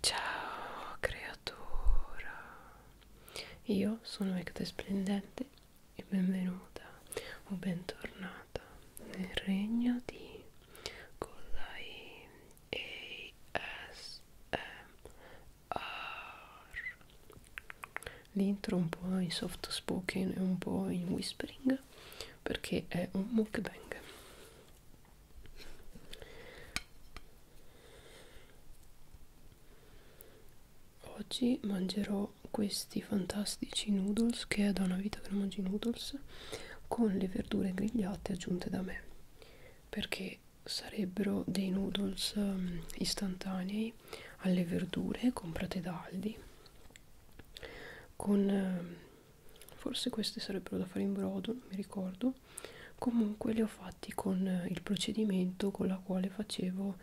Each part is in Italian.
Ciao creatura, io sono Ecta Splendente e benvenuta o bentornata nel regno di Collai ASMR. L'intro un po' in soft spoken e un po' in whispering perché è un mukbang. Oggi mangerò questi fantastici noodles che è da una vita che non mangi noodles con le verdure grigliate aggiunte da me perché sarebbero dei noodles um, istantanei alle verdure comprate da Aldi con um, forse queste sarebbero da fare in brodo non mi ricordo comunque li ho fatti con eh, il procedimento con la quale facevo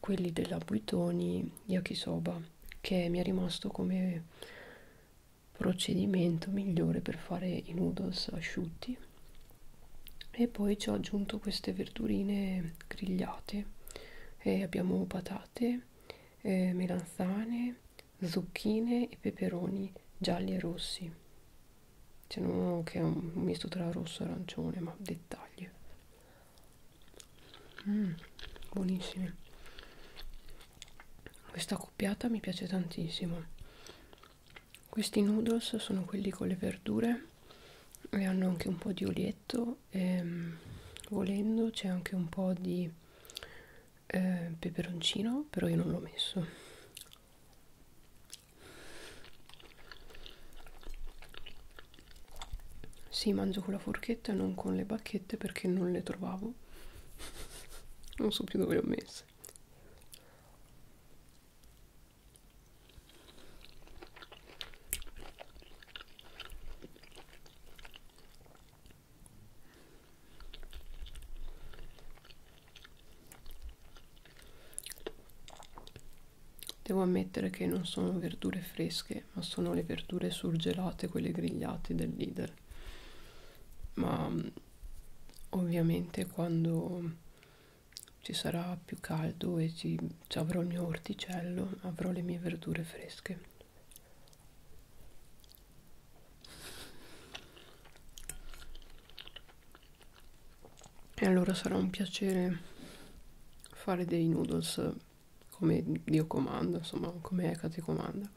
quelli della Buitoni Yakisoba che mi è rimasto come procedimento migliore per fare i noodles asciutti e poi ci ho aggiunto queste verdurine grigliate e abbiamo patate, eh, melanzane, zucchine e peperoni gialli e rossi c'è cioè, uno che è un misto tra rosso e arancione ma dettagli mm, buonissimi questa accoppiata mi piace tantissimo questi noodles sono quelli con le verdure e hanno anche un po' di olietto e ehm, volendo c'è anche un po' di eh, peperoncino però io non l'ho messo sì mangio con la forchetta non con le bacchette perché non le trovavo non so più dove le ho messe Devo ammettere che non sono verdure fresche, ma sono le verdure surgelate, quelle grigliate del Lidl. Ma ovviamente quando ci sarà più caldo e ci, ci avrò il mio orticello, avrò le mie verdure fresche. E allora sarà un piacere fare dei noodles come Dio comanda, insomma, come Hecate comanda.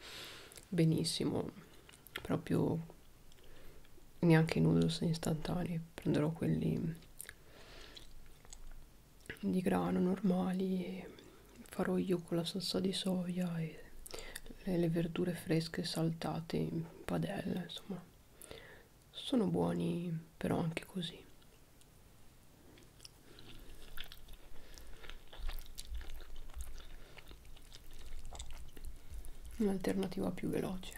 Benissimo, proprio neanche i noodles istantanei, prenderò quelli di grano normali farò io con la salsa di soia e le, le verdure fresche saltate in padella insomma sono buoni però anche così un'alternativa più veloce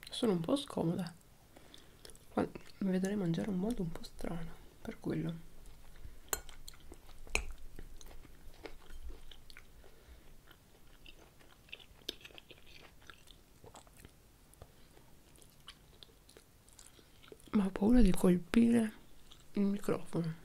ecco. sono un po' scomoda mi vedrei mangiare un modo un po' strano per quello ma ho paura di colpire il microfono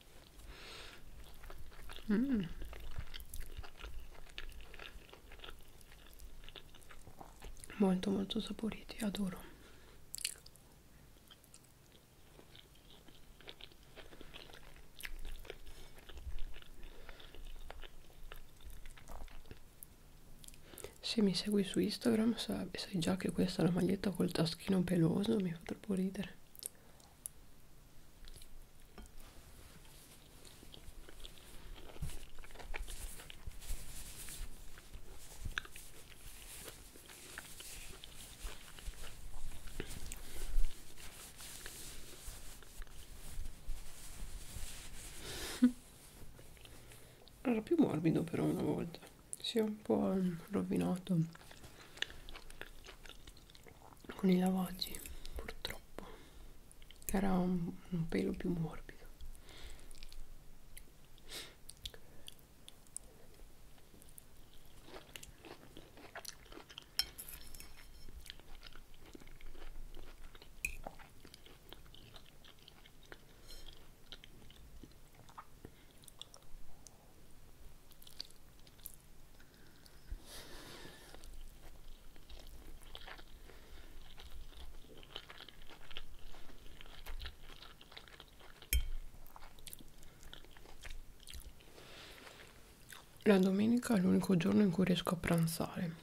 Mm. Molto molto saporiti, adoro. Se mi segui su Instagram sai già che questa è la maglietta col taschino peloso, mi fa troppo ridere era più morbido però una volta si è un po' rovinato con i lavaggi purtroppo era un, un pelo più morbido la domenica è l'unico giorno in cui riesco a pranzare.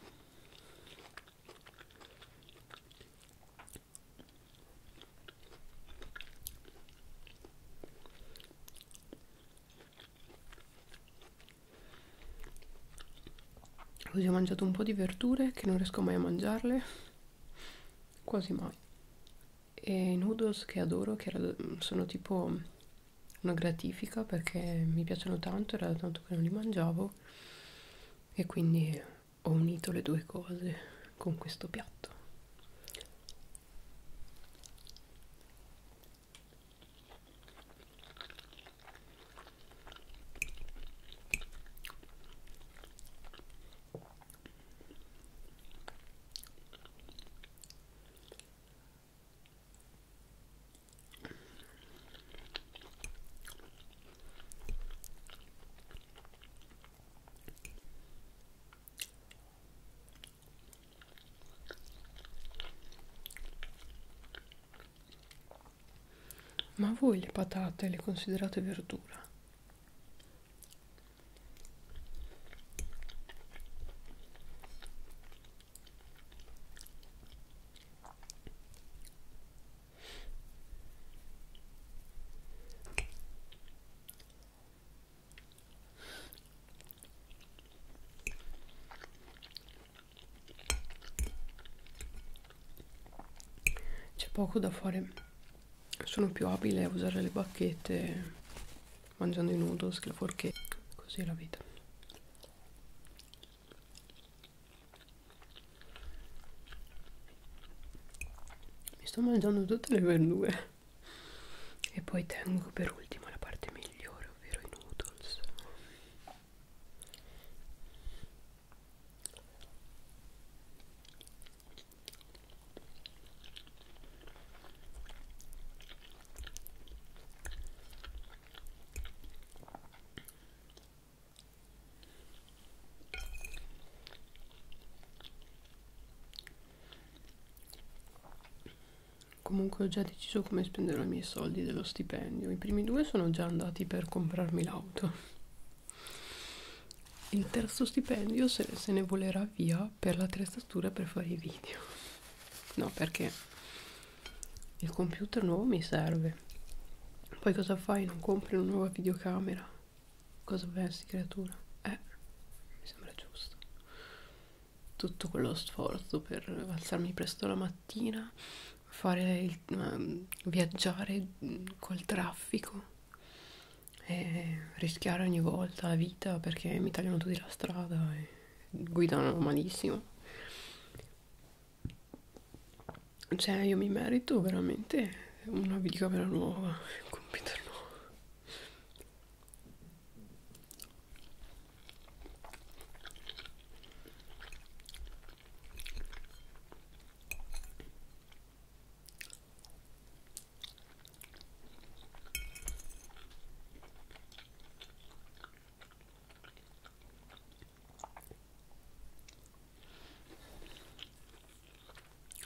Così ho mangiato un po' di verdure che non riesco mai a mangiarle, quasi mai. E i noodles che adoro, che era, sono tipo una gratifica perché mi piacciono tanto, era tanto che non li mangiavo e quindi ho unito le due cose con questo piatto ma voi le patate le considerate verdura? C'è poco da fare, sono più abile a usare le bacchette mangiando i noodles che la forchetta, così è la vita mi sto mangiando tutte le verdure e poi tengo per ultima la parte migliore ovvero i noodles Comunque ho già deciso come spenderò i miei soldi dello stipendio. I primi due sono già andati per comprarmi l'auto. Il terzo stipendio se, se ne volerà via per l'attrezzatura per fare i video. No, perché il computer nuovo mi serve poi cosa fai non compri una nuova videocamera cosa pensi creatura eh mi sembra giusto tutto quello sforzo per alzarmi presto la mattina fare il, um, viaggiare mm, col traffico e rischiare ogni volta la vita perché mi tagliano tutti la strada e guidano malissimo cioè, io mi merito veramente una videocamera nuova, un computer nuovo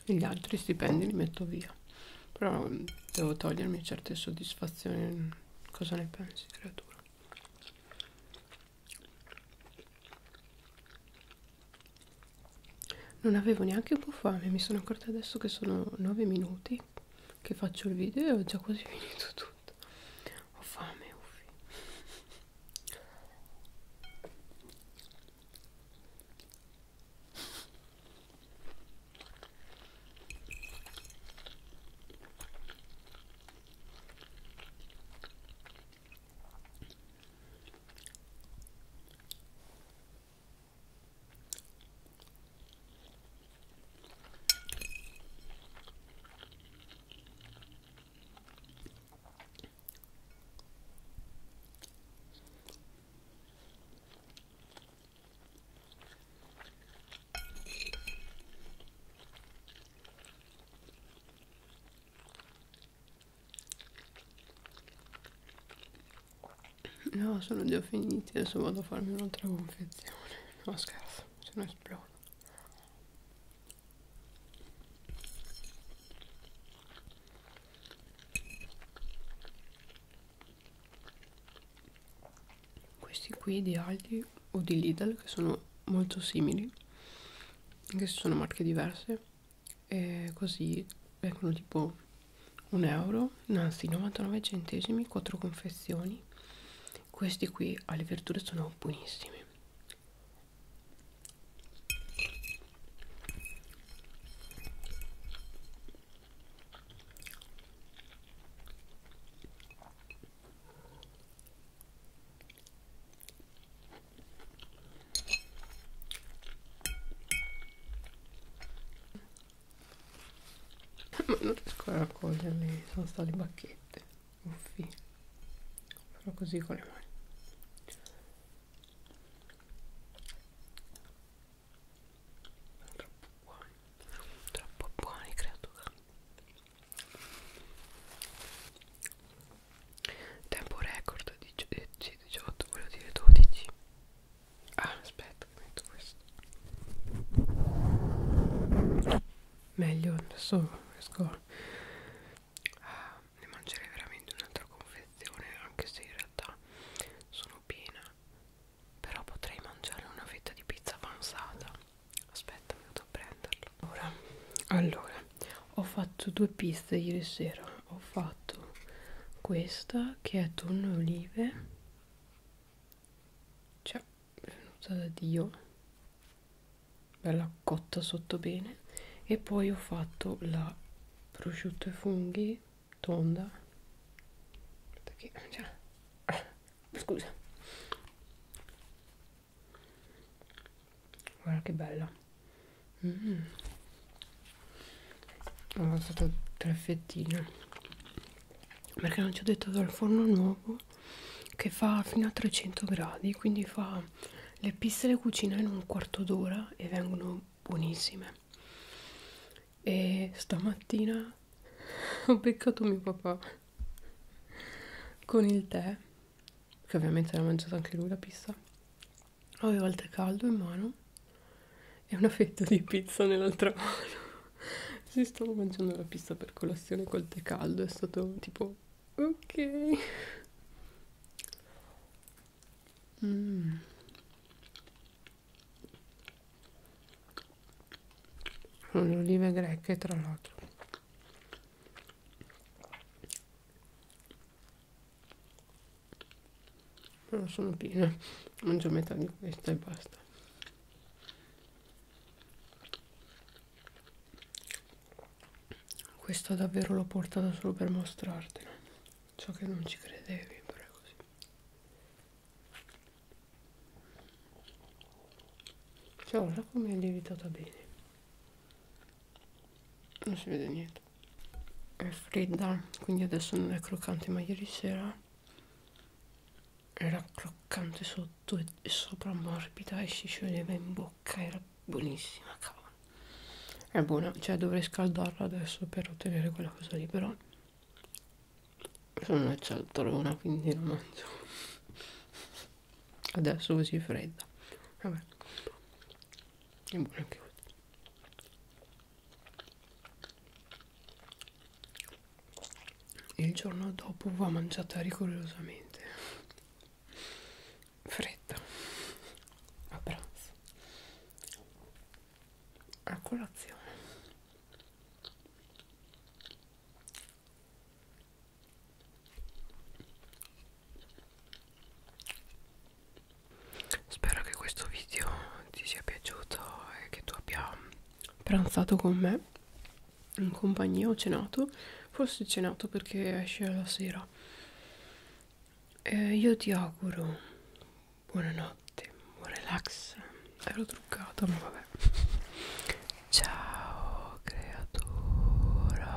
gli altri stipendi li metto via però mm, devo togliermi certe soddisfazioni cosa ne pensi creatura non avevo neanche un po' fame mi sono accorta adesso che sono 9 minuti che faccio il video e ho già quasi finito tutto ho fame uffi No, sono già finiti, adesso vado a farmi un'altra confezione. No, scherzo se no esplodo questi qui di Aldi o di Lidl che sono molto simili anche se sono marche diverse e così vengono tipo un euro euro, anzi 99 centesimi, 4 confezioni. Questi qui alle verdure sono buonissimi ma non riesco a raccoglierli sono state le bacchette uffi farò così con le mani troppo buoni troppo buoni creatura tempo record di 18 eh, volevo dire 12 Ah, aspetta, che metto questo. Meglio, adesso riesco a... Ah, ne mangerei veramente un'altra confezione, anche se in realtà sono piena. Però potrei mangiare una fetta di pizza avanzata. Aspetta, mi vado a prenderla. Allora, allora, ho fatto due pizze ieri sera. Ho fatto questa che è tonno e olive cioè venuta da dio bella cotta sotto bene e poi ho fatto la prosciutto e funghi tonda perché cioè, ah, scusa guarda che bella mm ho mangiato tre fettine perché non ci ho detto dal forno nuovo che fa fino a 300 gradi quindi fa le piste le cucina in un quarto d'ora e vengono buonissime e stamattina ho beccato mio papà con il tè che ovviamente l'ha mangiato anche lui la pizza avevo il tè caldo in mano e una fetta di pizza nell'altra mano. Si stavo mangiando la pizza per colazione col tè caldo, è stato tipo ok. Mm. Sono le olive greche tra l'altro però sono piene mangio metà di questa e basta questo davvero l'ho portata solo per mostrartelo so che non ci credevi però è così cioè ora come è lievitata bene non si vede niente è fredda quindi adesso non è croccante ma ieri sera era croccante sotto e sopra morbida e si scioglieva in bocca era buonissima cavolo è buona cioè dovrei scaldarla adesso per ottenere quella cosa lì però sono una cialtrona quindi non mangio adesso così fredda vabbè è buona anche e il giorno dopo va mangiata rigorosamente fredda a pranzo a colazione Spero che questo video ti sia piaciuto e che tu abbia pranzato con me in compagnia o cenato, forse cenato perché esce alla sera. E io ti auguro buonanotte, buon relax. Ero truccata, ma vabbè. Ciao creatura.